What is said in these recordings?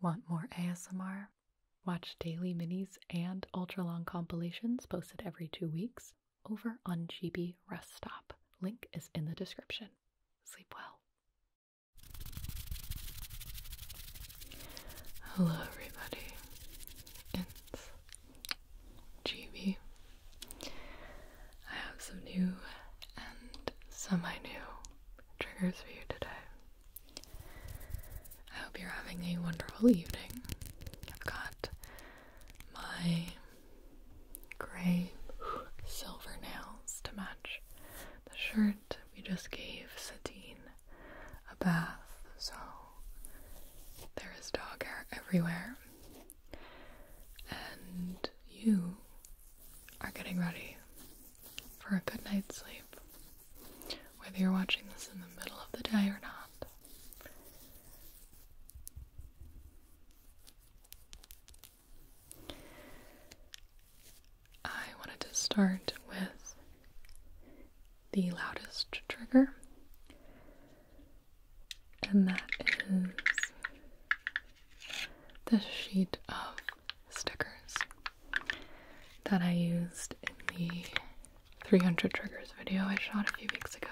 Want more ASMR? Watch daily minis and ultra long compilations posted every two weeks over on GB Rest Stop. Link is in the description. Sleep well. Hello, everybody. It's GB. I have some new and some I new triggers for you today. I hope you're having a wonderful evening. I've got my gray silver nails to match the shirt. We just gave Satine a bath, so there is dog hair everywhere. And you are getting ready for a good night's sleep, whether you're watching this in the middle of the day or not. I wanted to start with the loudest trigger, and that is the sheet of stickers that I used in the 300 triggers video I shot a few weeks ago.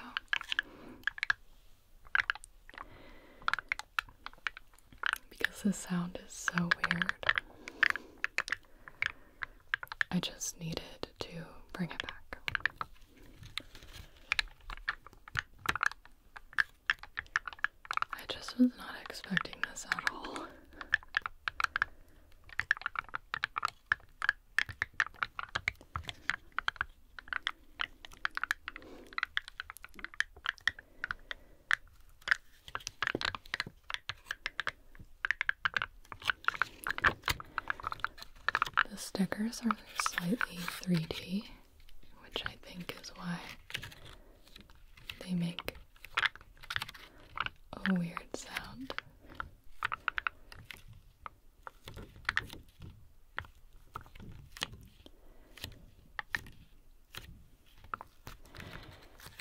Because the sound is so weird, I just needed to bring it back. I just was not expecting this at all. The stickers are slightly 3D, which I think is why they make a weird sound.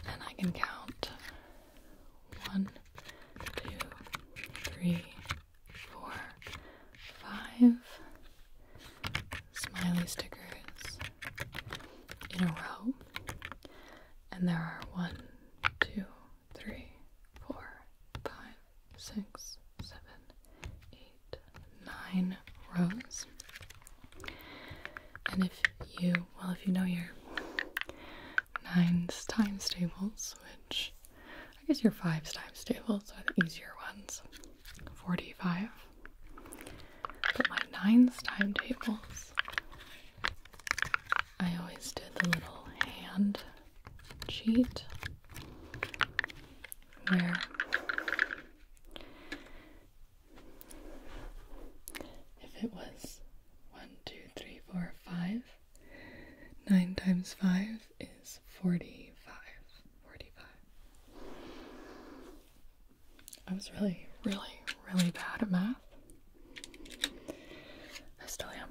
And I can count one, two, three, four, five smiley stickers in a row and there are one, two, three, four, five, six, seven, eight, nine rows. And if you, well, if you know your nines times tables, which I guess your fives times tables are the easier ones 45 but my nines timetables, I always did the little hand cheat where if it was one, two, three, four, five, nine times five is forty-five. Forty-five. I was really, really, really bad at math. I still am.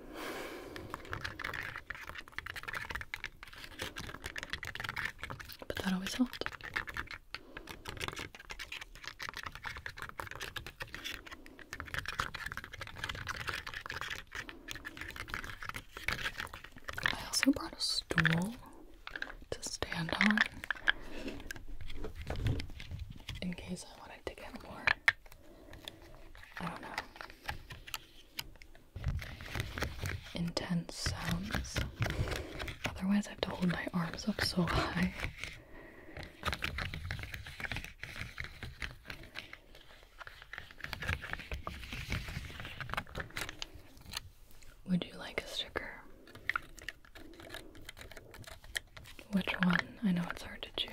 But that always helped. I also brought a stool to stand on in case I wanted to get more. Intense sounds. Otherwise, I have to hold my arms up so high. Would you like a sticker? Which one? I know it's hard to choose.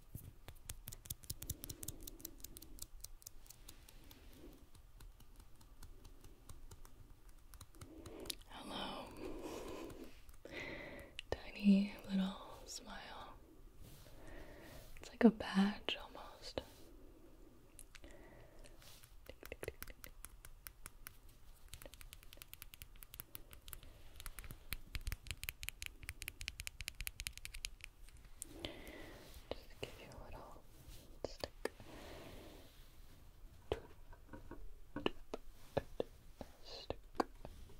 Hello. Tiny little smile. It's like a badge almost. Just give you a little stick.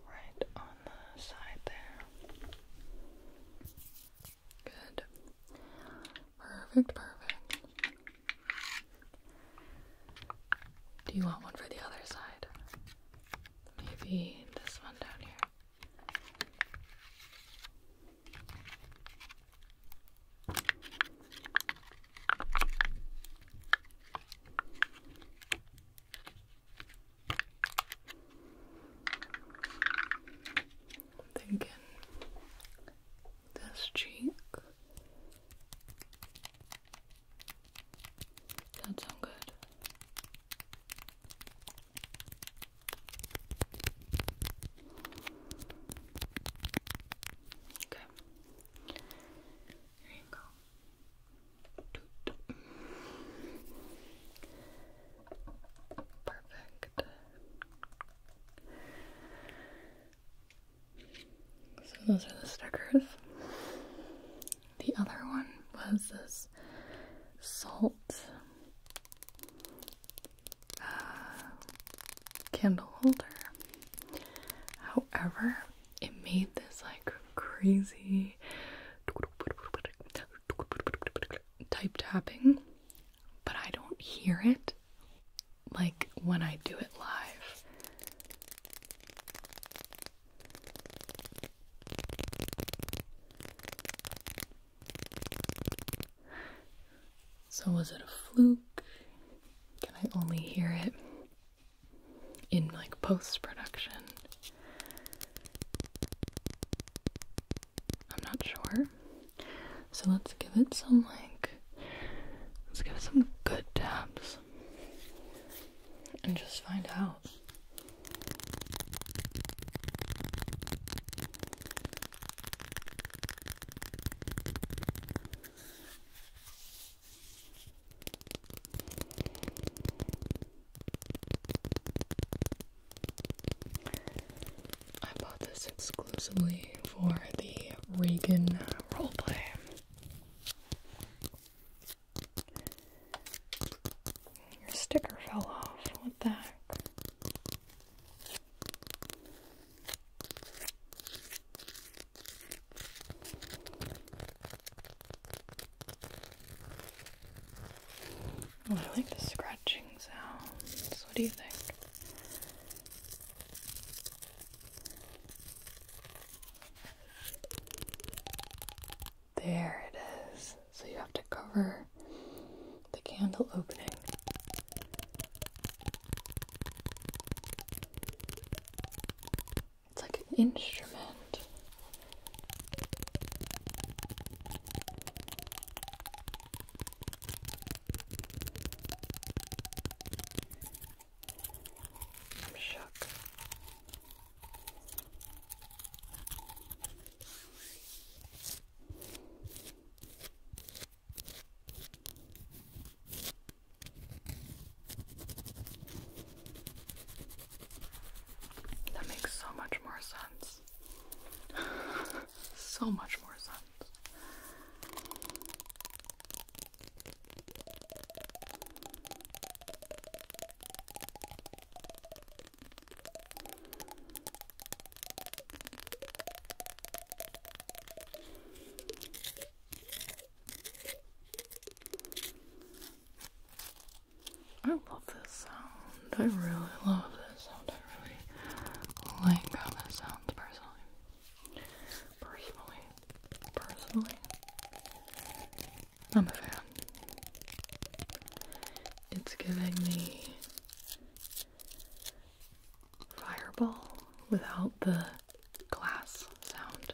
right on the side there. Good. Perfect, perfect. Do you want one for the other side? Maybe this one down here. Thinking this cheek. That sound good. Okay. Here you go. Perfect. So those are the stickers. The other one was this salt uh, candle holder. However, it made this like crazy type tapping, but I don't hear it like when I do it live. So, was it a fluke? Can I only hear it in like post production? I'm not sure. So, let's give it some like, let's give it some good taps and just find out. I bought this exclusively for the Reagan roleplay. Your sticker fell off. What the heck? Oh, I like the scratching sounds. What do you think? There it is. So you have to cover the candle opening. It's like an instrument. I'm shook. That makes so much more sense. so much more sense. I love this sound. I really love this sound. I really like how this sounds personally. Personally. Personally. I'm a fan. It's giving me fireball without the glass sound.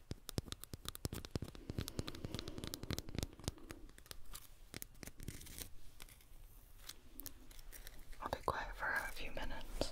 I'll be quiet for a few minutes.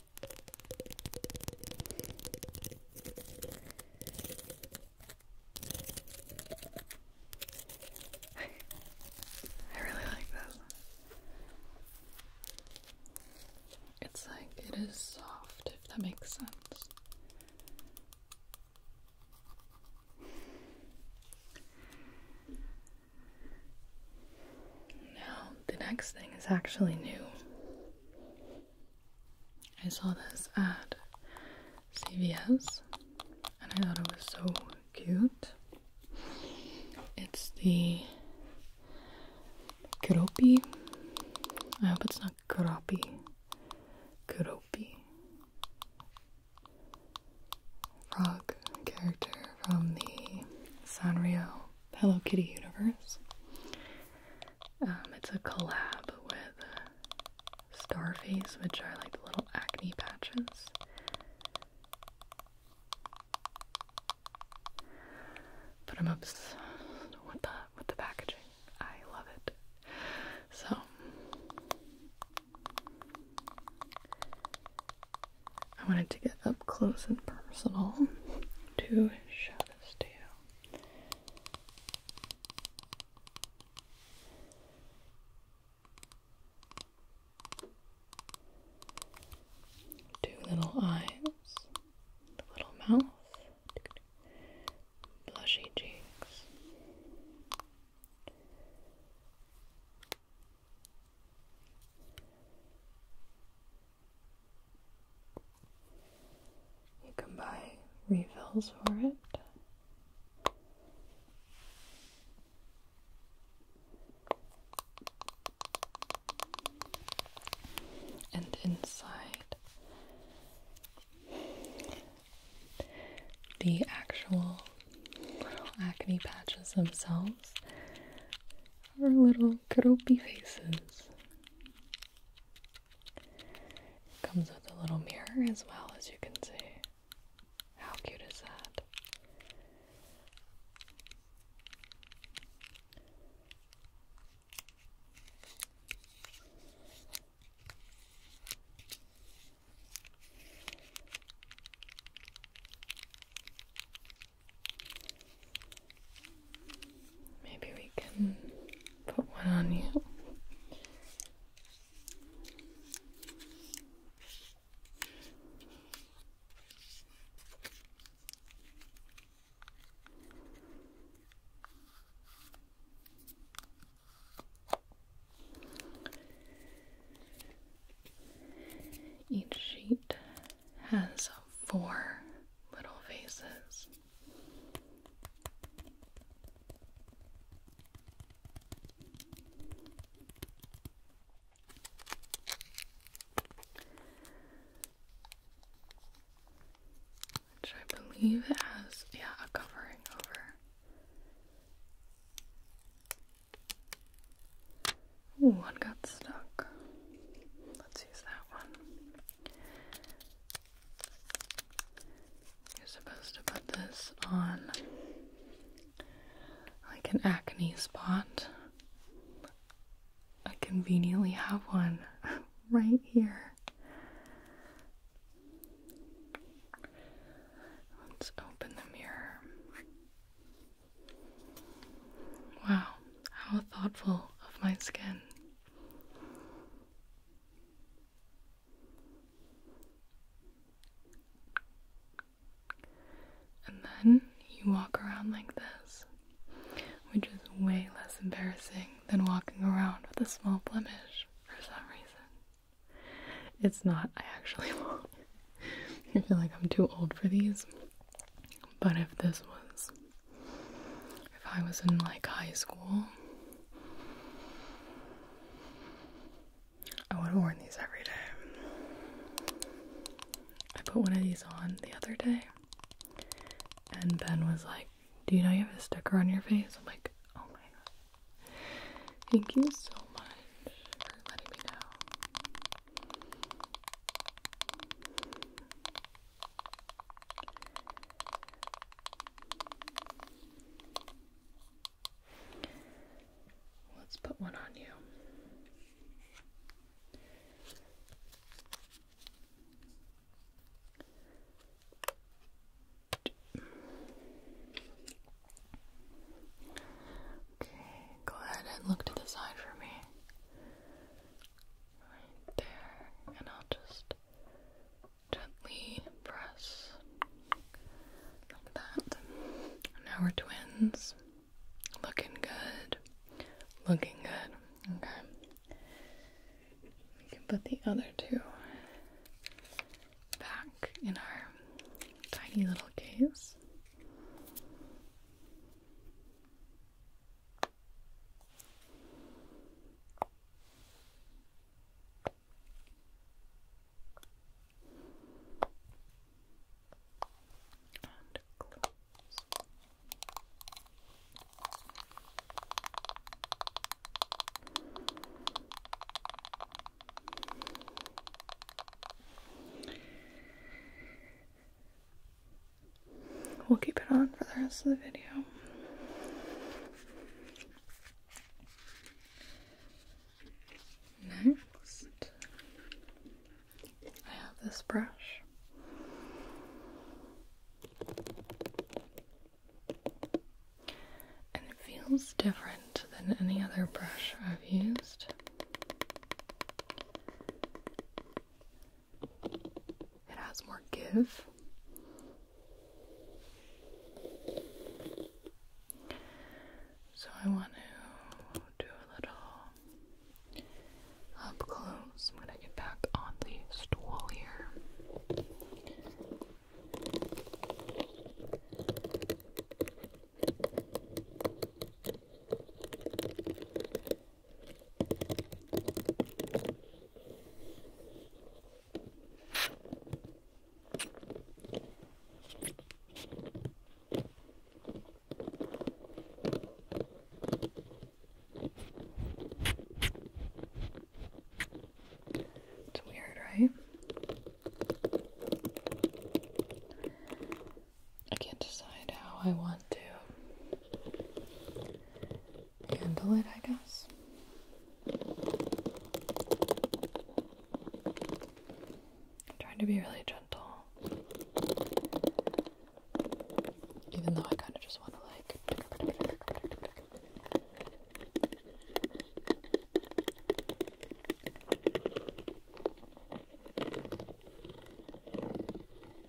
I really like this. It's like it is soft, if that makes sense. Now, the next thing is actually new. I saw this at CVS and I thought it was so cute. It's the Kuropi. I hope it's not Kuropi. Kuropi. Frog character from the Sanrio Hello Kitty universe. Um, it's a collab with Starface, which are like the little acne patches. But I'm obsessed with the with the packaging. I love it. So I wanted to get up close and personal to show this to you. Two little eyes, a little mouth, blushy cheeks. You can buy refills for it. And inside the actual acne patches themselves are little gropey faces it comes with a little mirror as well, as you can see. How cute is that? Maybe we can put one on you. Each sheet has four little faces. Which I believe has, yeah, a covering over. Ooh, got stuck. Let's use that one. You're supposed to put this on like an acne spot. I conveniently have one right here. Let's open the mirror. Wow, how thoughtful of my skin. And then you walk around like this, which is way less embarrassing than walking around with a small blemish for some reason. It's not, I actually feel like I'm too old for these. But if this was if I was in like high school, I would have worn these every day. I put one of these on the other day, and Ben was like, Do you know you have a sticker on your face? I'm like, Oh my god. Thank you so much for letting me know. Let's put one on you. Okay, go ahead and look to the side for me right there, and I'll just gently press like that. Now we're twins. Looking good. Looking good. Okay. We can put the other two back in our tiny little case. And close. We'll keep it on for the rest of the video. Next, I have this brush. And it feels different than any other brush I've used. It has more give. So I want to do a little up close. I'm going to get back on the stool here. It's weird, right? I can't decide how I want to handle it, I guess. I'm trying to be really gentle. Even though I kind of just want to like.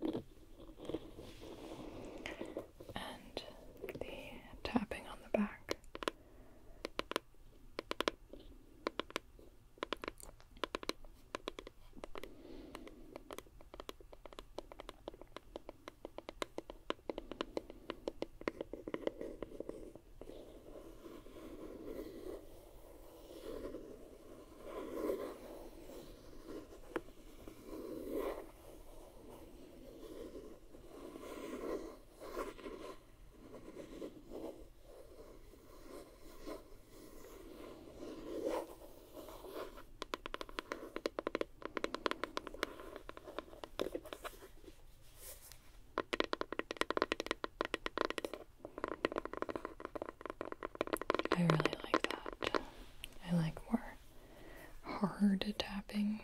and the tapping on the back. I really like that. I like more hard tapping.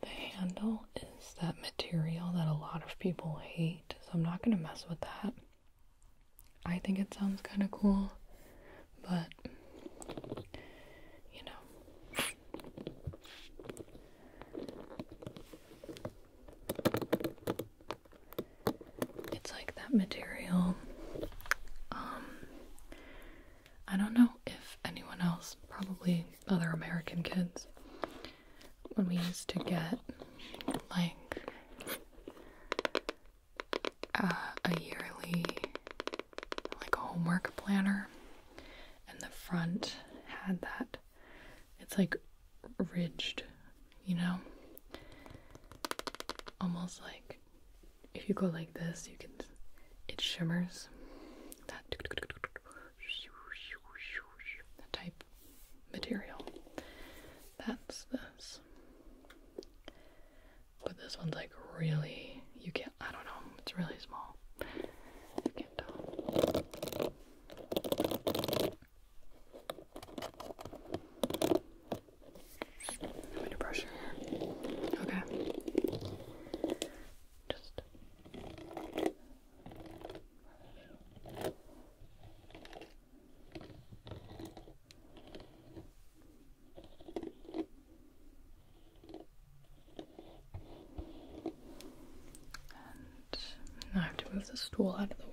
The handle is that material that a lot of people hate, so I'm not going to mess with that. I think it sounds kind of cool, but you know. It's like that material. Um, I don't know if anyone else, probably other American kids, when we used to get like uh, a yearly like homework planner, and the front had that. It's like ridged, you know, almost like if you go like this, you can it shimmers that that type material. That's this. But this one's like really you can't I don't know, it's really small. You can't tell. I'm gonna brush your hair. Okay. Just and I have to move the stool out of the way.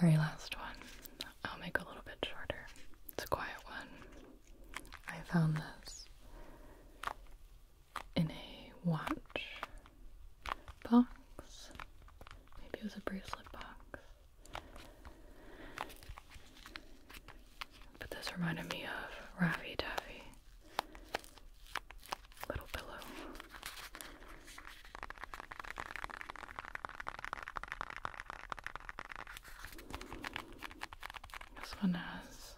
Very last one. I'll make a little bit shorter. It's a quiet one. I found this in a watch box. Maybe it was a bracelet box. But this reminded me of Ravi Daffy little pillow. This one has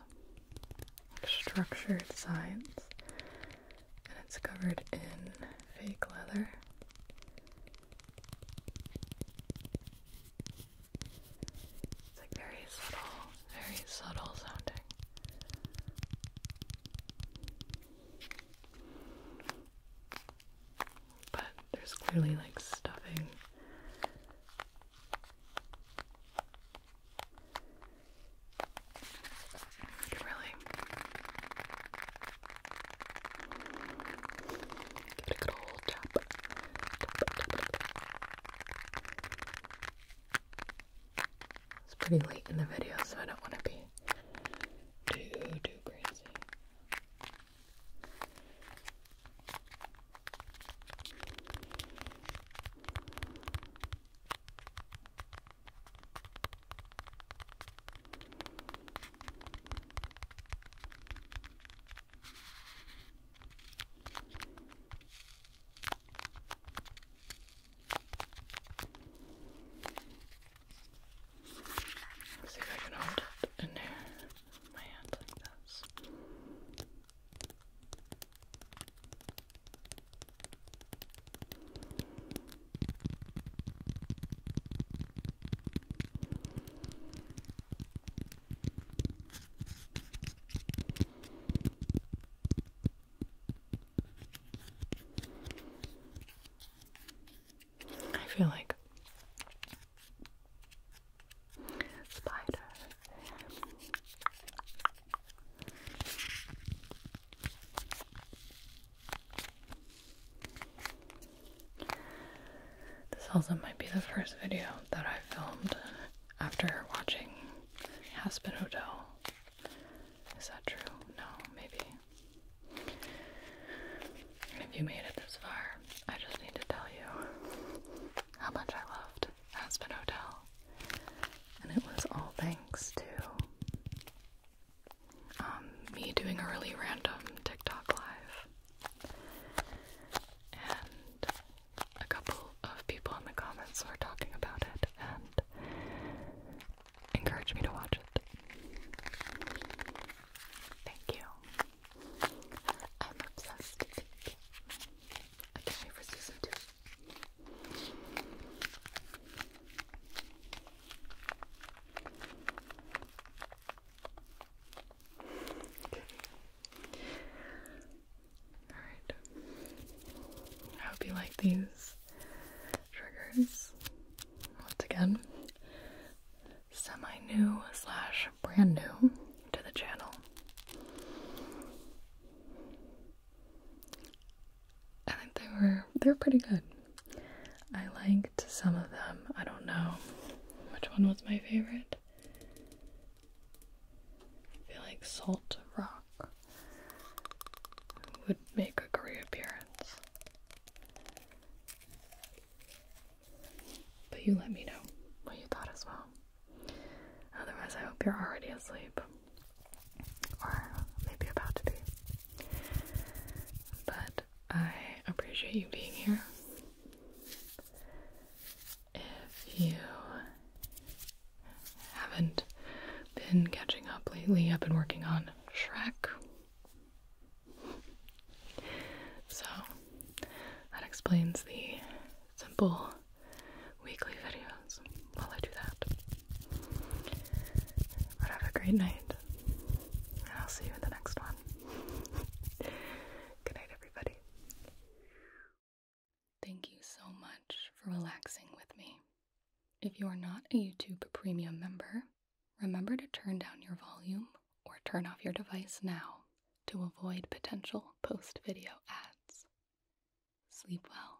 structured sides and it's covered in fake leather. It's like very subtle, very subtle sounding. But there's clearly like stuffing. really give it a good old chop. It's pretty late in the video, so I don't want to be too, too crazy. Let's see if I can hold it in there with my hand like this. I feel like spider. This also might be the first video that I filmed after watching Aspen Hotel. Is that true? No, maybe. If you made it this far, I just need to tell you how much I loved Aspen Hotel. And it was all thanks to um, me doing a really random TikTok live. And a couple of people in the comments were talking about it, and encouraged me to watch it. Thank you. I'm obsessed. I can't wait for season two. Okay. Alright. I hope you like these triggers. Once again, semi new slash brand new to the channel. I think they were they were pretty good. I liked some of them. I don't know which one was my favorite. I feel like Salt Rock would make a re-appearance, But you let me know what you thought as well. Otherwise, I hope you're already asleep. Or maybe about to be. But I appreciate you being here. If you haven't been catching up lately, I've been working on on Shrek. So that explains the simple weekly videos while I do that. But have a great night, and I'll see you in the next one. Good night, everybody. Thank you so much for relaxing with me. If you are not a YouTube Premium member, remember to turn down your volume or turn off your device now to avoid potential post video ads. Sleep well.